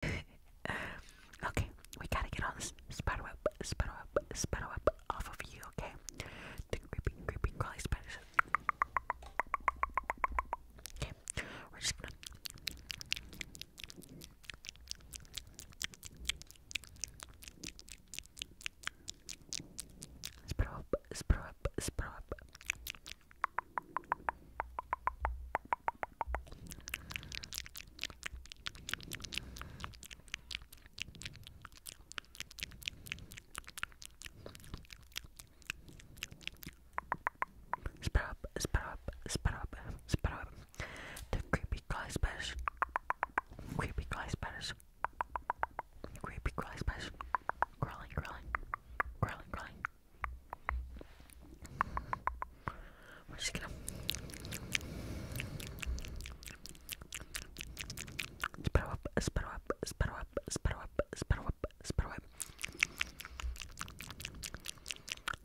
okay, we gotta get all this spider web, spider web, spider web off of you, okay? The creepy, creepy, crawly spiders. Okay, we're just gonna. Spit up, spit up, spit up, spit up. The creepy glass bash. Creepy glass bash. Creepy glass bash. Crawling, crawling, crawling, crawling. We're just gonna sparrow up, sparrow up, sparrow up, sparrow up, sparrow up, sparrow up,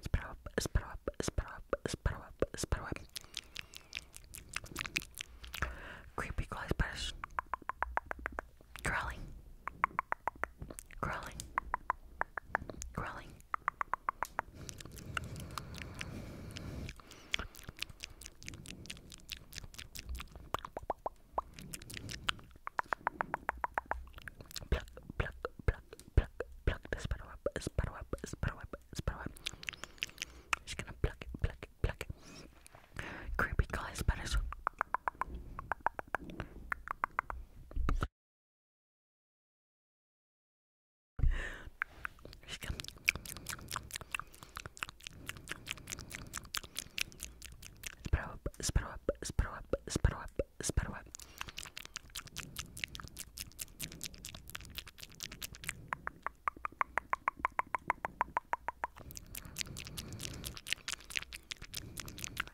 sparrow up, sparrow up, sparrow up, sparrow up, sparrow up. Creepy glass brush. Crawling. Crawling. Crawling. Pluck, pluck, pluck, pluck, pluck the spider up, spider up, spider gonna pluck it, pluck it, pluck it. Creepy guy spiders. Справа, справа, справа, справа, справа.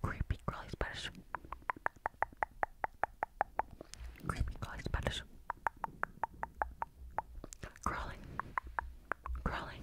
Creepy crawly spiders. Creepy crawly spiders. Crawling. Crawling.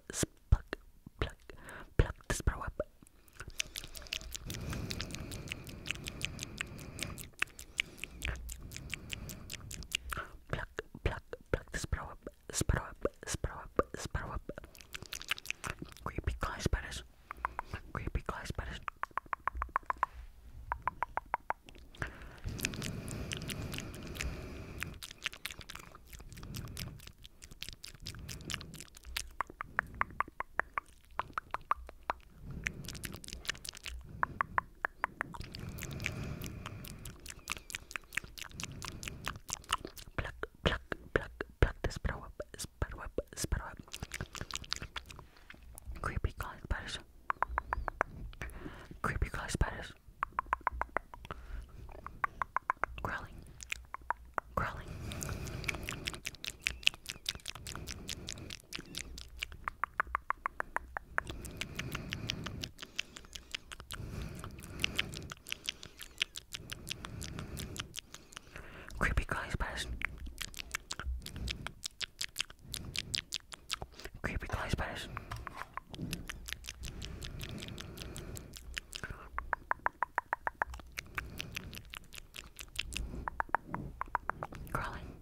Pluck, pluck, pluck this bro up. Pluck, pluck, pluck this bro up. Sparrow up, sparrow up, sparrow up. Creepy glass spiders. Creepy glass spiders. Pluck, pluck, pluck, pluck the sparrow up, sparrow up, sparrow up. Creepy crawling spiders. Creepy crawling spiders. Crawling. Crawling. Creepy guys pass. Creepy guys pass. Crawling.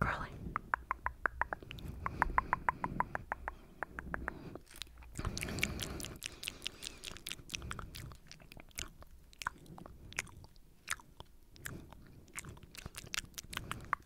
Crawling.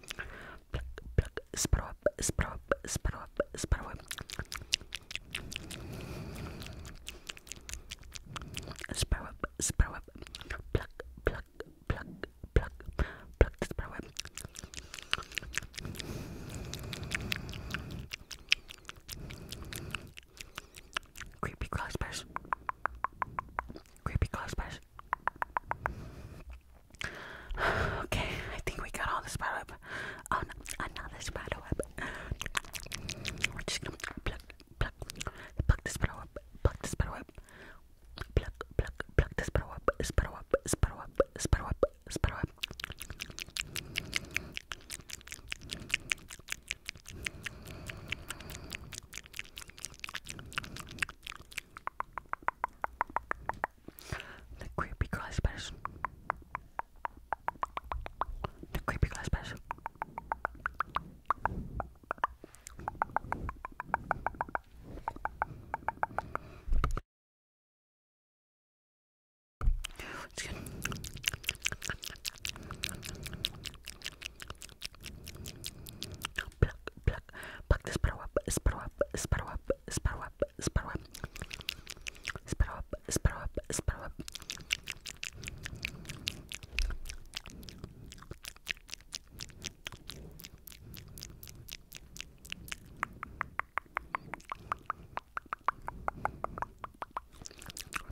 Pluck, pluck, sprout, sprout, sprout, sprout. Sprout, sprout. Pluck, pluck, pluck, pluck, pluck the sprout. Creepy crossbars. Creepy crossbars. Okay, I think we got all the spider web. Oh no, another uh, spider web. We're just gonna pluck, pluck, pluck the spider web, pluck the spider web, pluck, pluck, pluck the spider web, spider web, spider web, spider web, spider web. The creepy glass person. The creepy glass person. Pluck, pluck, pluck the sparrow up, sparrow up, sparrow up, sparrow up, sparrow up, sparrow up, sparrow up, sparrow up.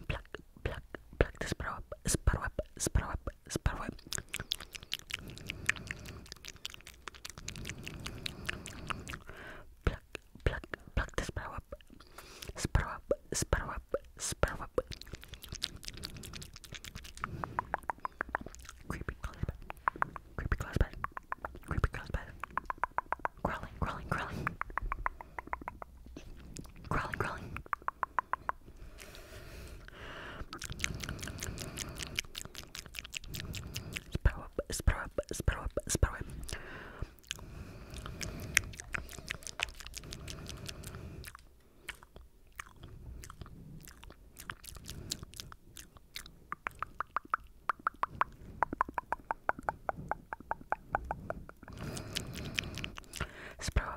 Pluck, pluck, pluck the sparrow up, sparrow up, sparrow up, sparrow up. Pluck, pluck, pluck the sparrow up, sparrow up, sparrow up, sparrow up. Creepy crawling, creepy crawling, creepy crawling, crawling, crawling, crawling, crawling, crawling. Справа, справа, справа, справа. Справа,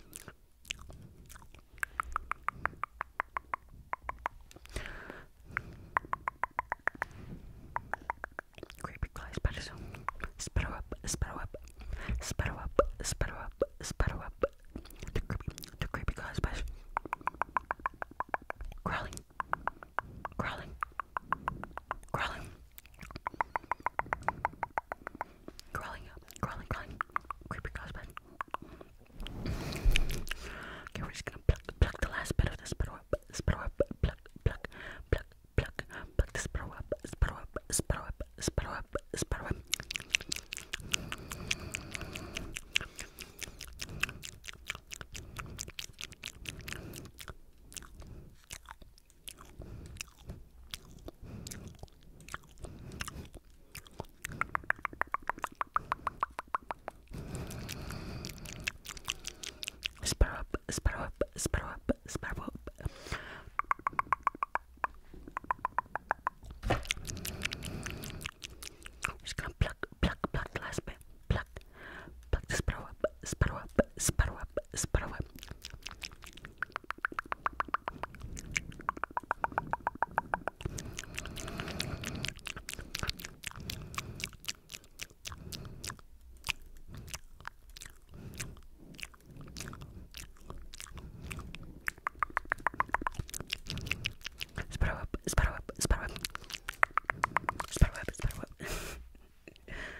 Creepy clay spiders. Sparrow up, sparrow up, sparrow up, sparrow up, sparrow up. The creepy, the creepy clay spiders. Crawling, crawling, crawling. Crawling up, crawling, crawling. Creepy crossbone. Okay, we're just gonna pluck, pluck the last bit of this spider up, spider up, pluck, pluck, pluck, pluck, pluck the spider up, spider up, spider up, spider up, spider up. Sparrow up, sparrow up, sparrow up, sparrow up. I'm just gonna pluck, pluck, pluck the last bit. Pluck, pluck the sparrow up, sparrow up, sparrow up, sparrow up. Sparrow up, sparrow up, sparrow up. Sparrow up, sparrow up.